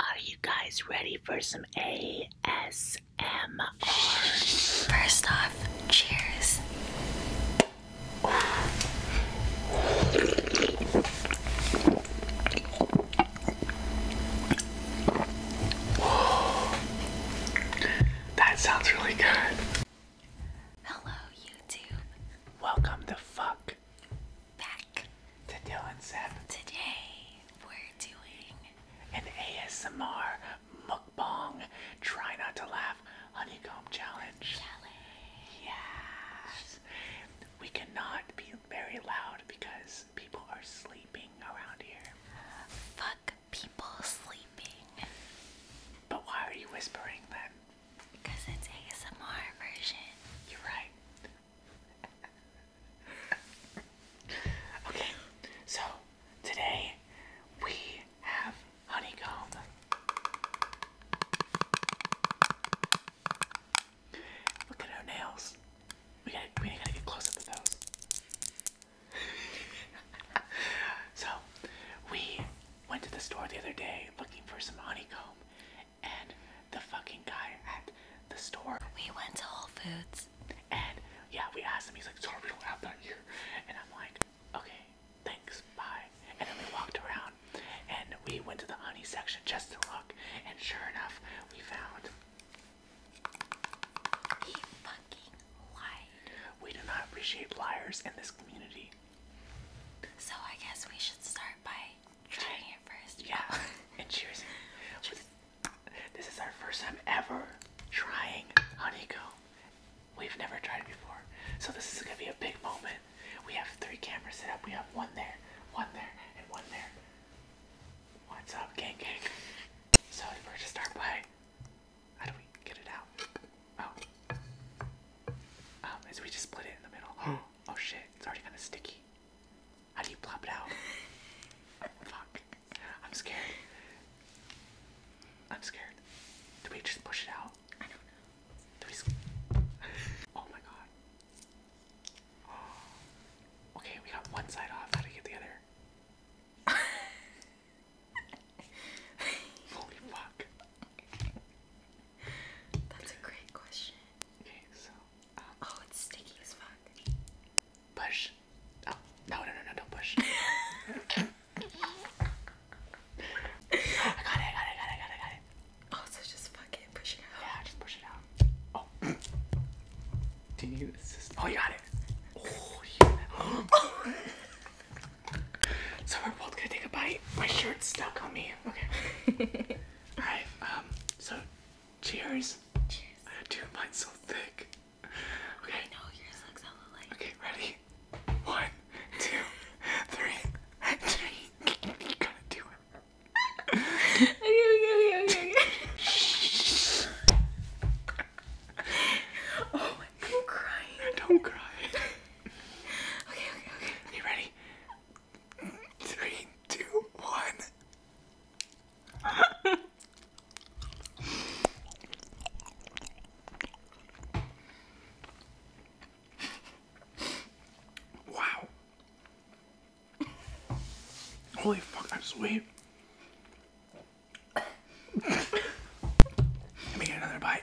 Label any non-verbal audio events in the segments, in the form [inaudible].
Are you guys ready for some ASMR? First off, cheers. [gasps] that sounds really good. Hello, YouTube. Welcome the fuck back to Dylan Sepp. Today we're doing an ASMR mukbang try not to laugh honeycomb challenge. Challenge. Yes. We cannot be very loud because people are sleeping around here. Fuck people sleeping. But why are you whispering then? Because it's ASMR version. You're right. [laughs] okay, so today we have honeycomb. Look at her nails. We gotta, we gotta get close to those. [laughs] so, we went to the store the other day looking for some honeycomb, and the fucking guy at the store. We went to Whole Foods. And yeah, we asked him, he's like, sorry, we don't have that here. And I'm like, okay, thanks, bye. And then we walked around and we went to the honey section just to look. And sure enough, we found. He fucking lied. We do not appreciate liars in this community. So I guess we should start by trying it first. Yeah. Oh. [laughs] and cheers. This is our first time ever trying honeycomb. We've never tried it before. So this is gonna be a big moment. We have three cameras set up. We have one there, one there, and one there. What's up, gang gang? So we're just start by how do we get it out? Oh. Um, is we just split it in the middle. [gasps] [gasps] Oh shit, it's already kind of sticky. How do you plop it out? [laughs] Fuck. I'm scared. I'm scared. Do we just push it out? I know. Do we [laughs] Oh my god. Oh. Okay, we got one side off. How do we get the other? [laughs] Holy fuck. That's a great question. Okay, so. Um, oh, it's sticky as fuck. Push. Oh, no, no, no, no, don't push. [laughs] I got it, I got it, I got it, I got it. Oh, so just fuck it, push it out. Yeah, just push it out. Oh. Do you need assistance? Oh, you got it. Oh, [laughs] so we're both gonna take a bite. My shirt's stuck on me. Okay. [laughs] All right. Um. So, cheers. Cheers. Uh, dude, so thick. Okay. I yours looks hella light. Okay. Ready? One, two, three, three. [laughs] you gotta do it. [laughs] okay. Okay. Okay. Okay. oh, I'm crying. Don't cry. okay. Okay. Okay. You ready? Three, two, one. wow. Holy fuck, that's sweet. Let me get another bite.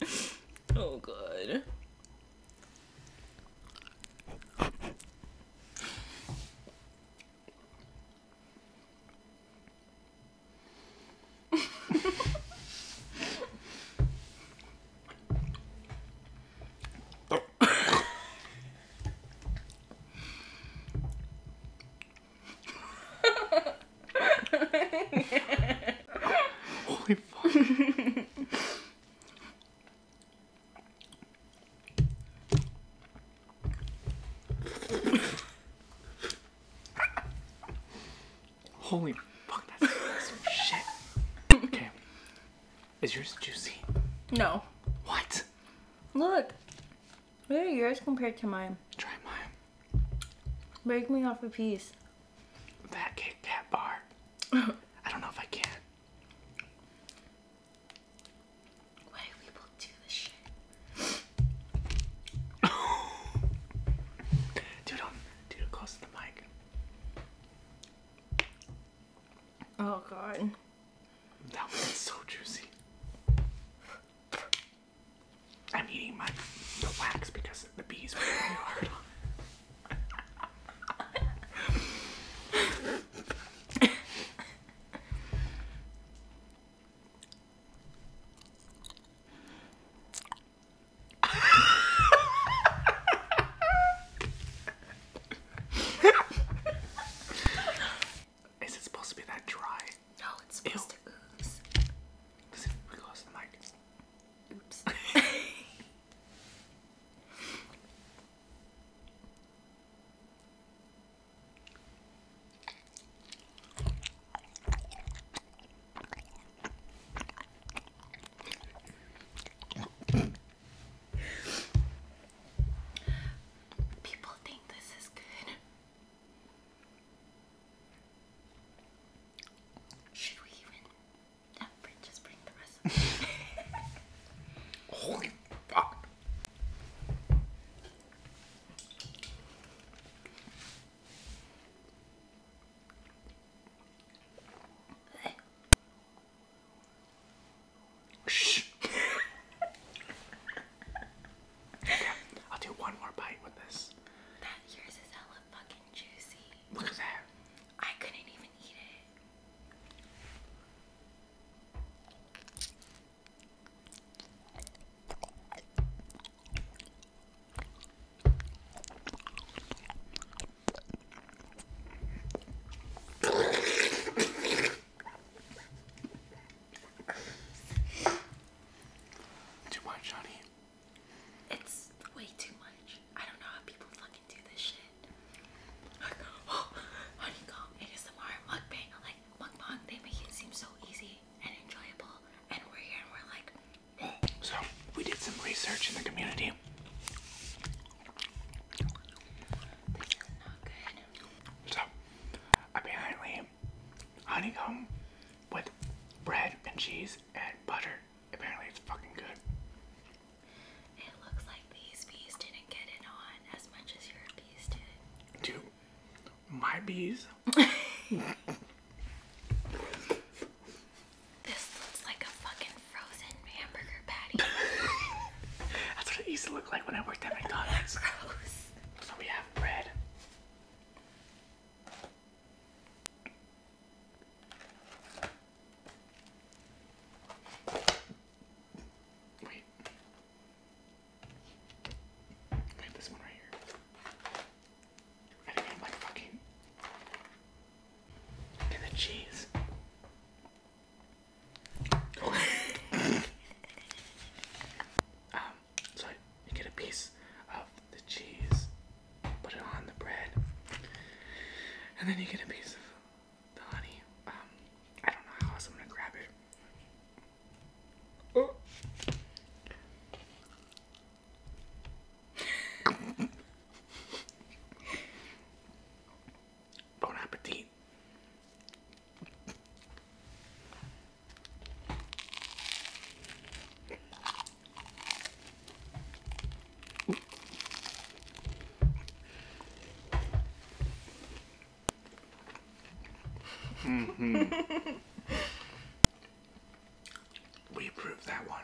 [laughs] oh god. [laughs] [laughs] Holy [laughs] Holy fuck, that's some shit. Okay. Is yours juicy? No. What? Look. What are yours compared to mine? Try mine. Break me off a piece that Kit Kat bar. [laughs] I don't know if I can. Why do people do this shit? [laughs] dude, I'm, dude, close the mic. Oh god. That was so juicy. I'm eating my wax because the bees are really hard on. Is it supposed to be that dry? No, it's supposed to ooze. Does it really close the mic? Oops. [laughs] People think this is good. Should we even? just bring the rest. [laughs] Holy fuck! [laughs] Okay, I'll do one more bite with this. That yours is hella fucking juicy. Look at that. I couldn't even eat it. Too much, honey. It's way too much. I don't know how people fucking do this shit. Like, oh, [gasps] honeycomb, ASMR, mukbang, like mukbang. They make it seem so easy and enjoyable. And we're here and we're like. So we did some research in the community. This is not good. So apparently honeycomb with bread and cheese and butter. Apparently, it's fucking good. It looks like these bees didn't get it on as much as your bees did. Dude, my bees. [laughs] this looks like a fucking frozen hamburger patty. [laughs] That's what it used to look like when I worked at McDonald's. [laughs] Gross. So we have bread. Wait. I have this one right here. I think I'm like fucking. And the cheese. [laughs] um, so you get a piece of the cheese, put it on the bread, and then you get a piece of the honey. Um, I don't know how else I'm gonna grab it. Oh. [laughs] bon appetit. -hmm. [laughs] we approve that one.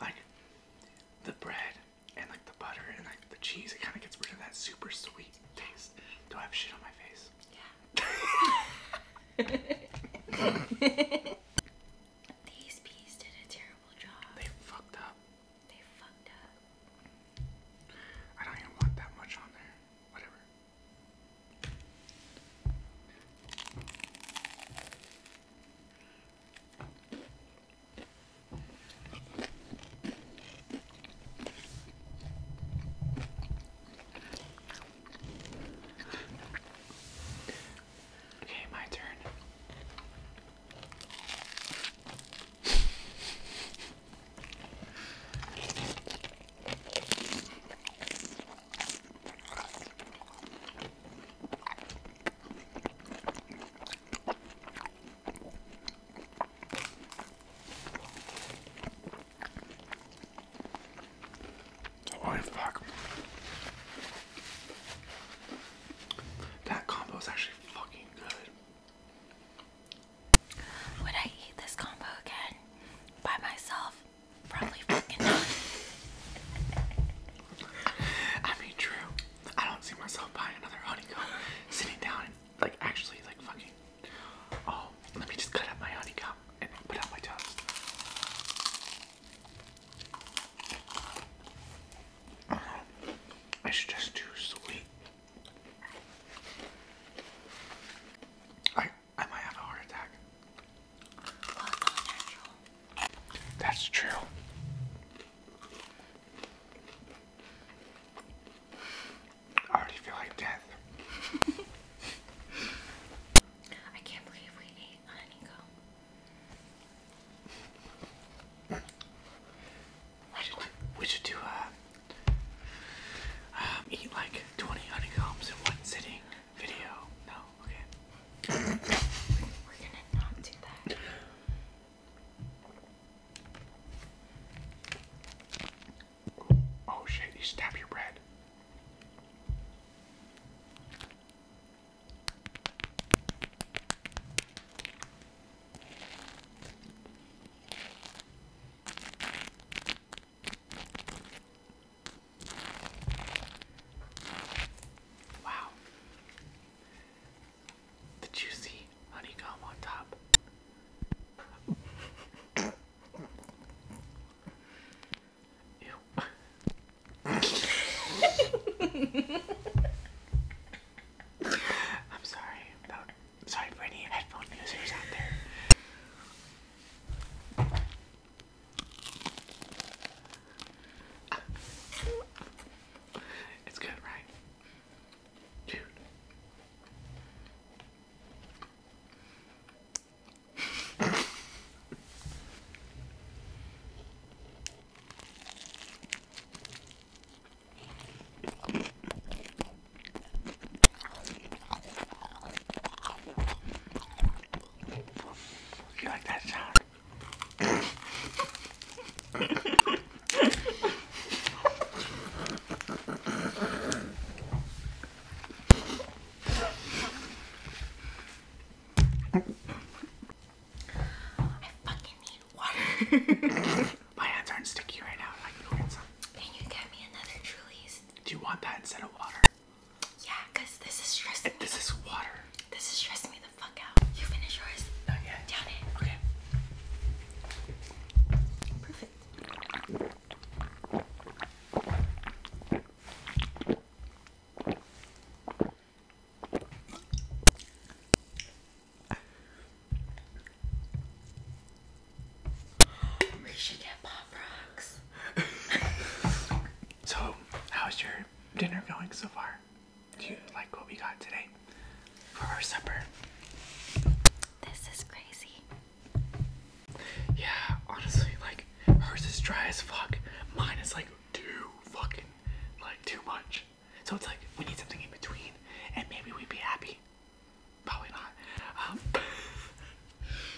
Like the bread and like the butter and like the cheese, it kind of gets rid of that super sweet taste. Do I have shit on my face? Yeah. [laughs] These bees did a terrible job. They fucked up. They fucked up. I don't even want that much on there. Whatever. Okay, my turn. Oh fuck. That combo is actually fucking good. Would I eat this combo again by myself? Probably fucking not. [laughs] I mean, true. I don't see myself buying another honeycomb, sitting down like actually, like fucking. Oh, let me just cut up my honeycomb and put out my tongue. Uh-huh. It's just too sweet. I I might have a heart attack. That's true. I already feel like death. [laughs] I can't believe we ate honeycomb. We should, do uh, um, eat like 20 honeycombs in one sitting video. No, okay. [coughs] We're gonna not do that. Oh shit, you stab your bread. Wow the juicy honeycomb on top. I'm sorry sorry for any headphone users out there. It's good, right? Dude. You like that sound? [laughs] I fucking need water. [laughs] My hands aren't sticky right now. I can go get some. Can you get me another Truly's? Do you want that instead of water? Yeah, because this is stressing This me. is water. This is stressing me the fuck out. You finish yours? Not yet. Down it. Okay. Perfect. We should get pop rocks. [laughs] so, how's your dinner going so far? Do you like what we got today for our supper? This is crazy. Yeah, honestly, like hers is dry as fuck. Mine is like too fucking like too much. So it's like we need something in between, and maybe we'd be happy. Probably not. Um,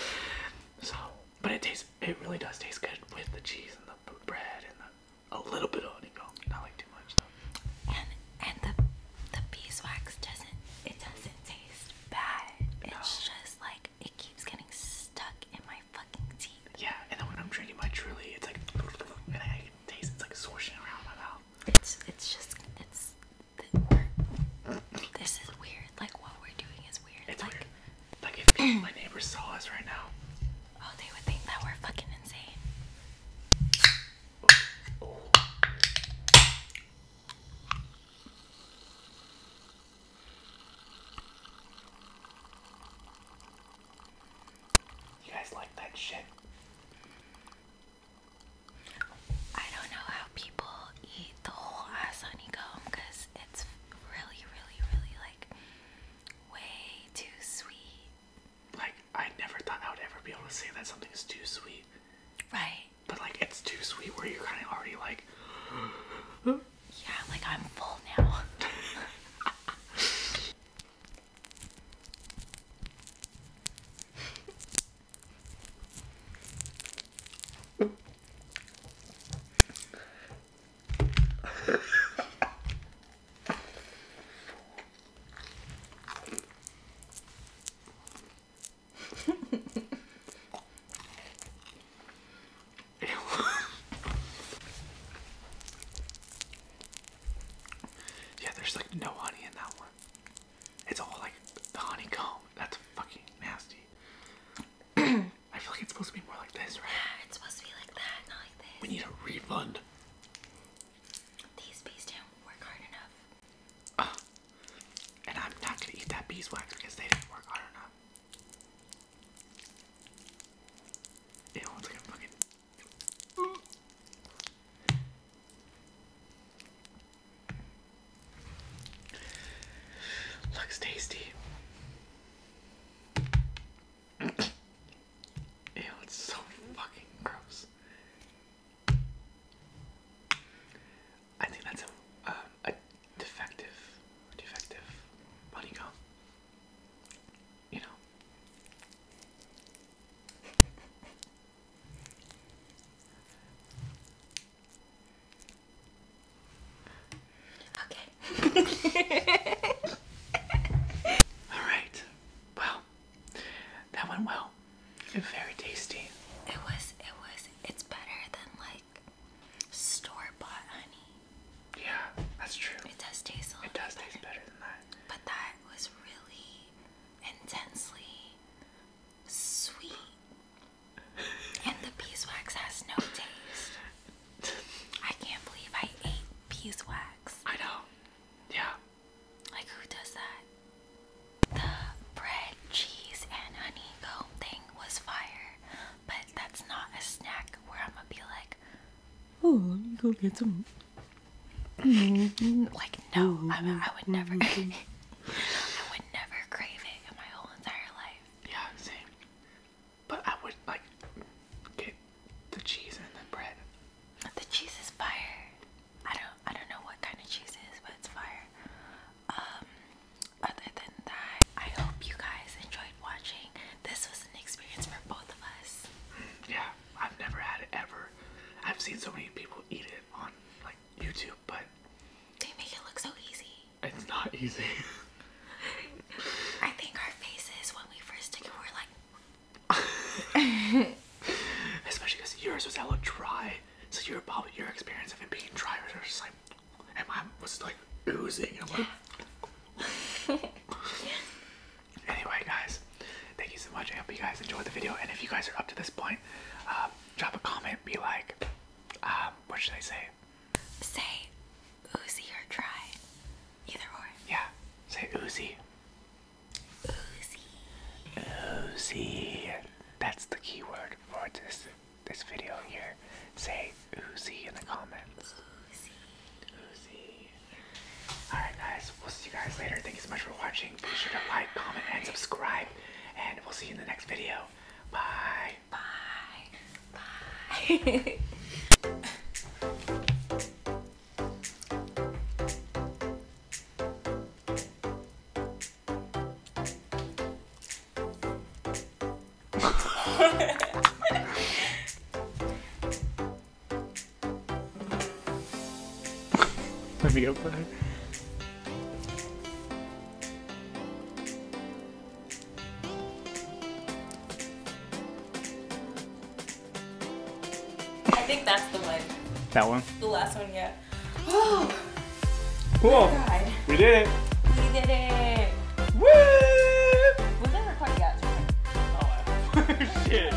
[laughs] so, but it tastes. It really does taste good with the cheese and the bread and the a little bit of it, Not like too much though. And and the the beeswax doesn't it doesn't taste bad. It's just like it keeps getting stuck in my fucking teeth. Yeah, and then when I'm drinking my truly, it's like and I can taste it's like swishing around my mouth. It's it's just it's this is weird. Like what we're doing is weird. It's weird. like if my neighbors saw us right now, Oh, they would think that we're fucking insane. You guys like that shit? I don't know how people eat the whole ass honeycomb because it's really, really, really like way too sweet. Like I never thought I would ever be able to say that something is too sweet. Right. But like it's too sweet where you're kind of already like. [gasps] yeah, like I'm full now. [laughs] [laughs] [laughs] yeah, there's like no honey in that one. It's all like the honeycomb. That's fucking nasty. [clears throat] I feel like it's supposed to be more like this, right? it's supposed to be like that, not like this. We need a refund. These bees didn't work hard enough. Oh, and I'm not gonna eat that beeswax because they didn't work hard enough. It wants like a fucking. Mm. Looks tasty. Ew, it's so fucking gross. I think that's a, um, defective, defective honeycomb. You know. Okay. [laughs] All right. Well, that went well. Very tasty. It was. It was. It's better than like store bought honey. Yeah, that's true. It does taste It does taste better than that. But that was really intensely sweet, [laughs] and the beeswax has no taste. I can't believe I ate beeswax. I know. Yeah. Like who does that? The bread, cheese, and honeycomb thing was fire, but that's not a snack where I'm gonna be like, oh, let go get some. [laughs] like no, I, mean, I would never. [laughs] I would never crave it in my whole entire life. Yeah, same. But I would like get the cheese and the bread. The cheese is fire. I don't I don't know what kind of cheese is, but it's fire. Um other than that, I hope you guys enjoyed watching. This was an experience for both of us. Mm, yeah, I've never had it ever. I've seen so many people eat it on like YouTube, but they make it look so easy. It's not easy. I think our faces when we first took it were like. [laughs] Especially because yours was a little dry. So your about your experience of it being dry was just like, and mine was like oozing. I'm like. [laughs] anyway, guys, thank you so much. I hope you guys enjoyed the video. And if you guys are up to this point, uh, drop a comment. Be like, um, what should I say? Say oozy or try, Either or. Yeah. Say oozy. Oozy. Oozy. That's the keyword for this this video here. Say oozy in the comments. Oozy. Oozy. Alright guys, we'll see you guys later. Thank you so much for watching. Be sure to like, comment, and subscribe. And we'll see you in the next video. Bye. Bye. Bye. [laughs] Let me go play. I think that's the one. That one? The last one, yeah. Oh, cool. We did it. We did it. Woo! Was that recording yet? Oh, shit.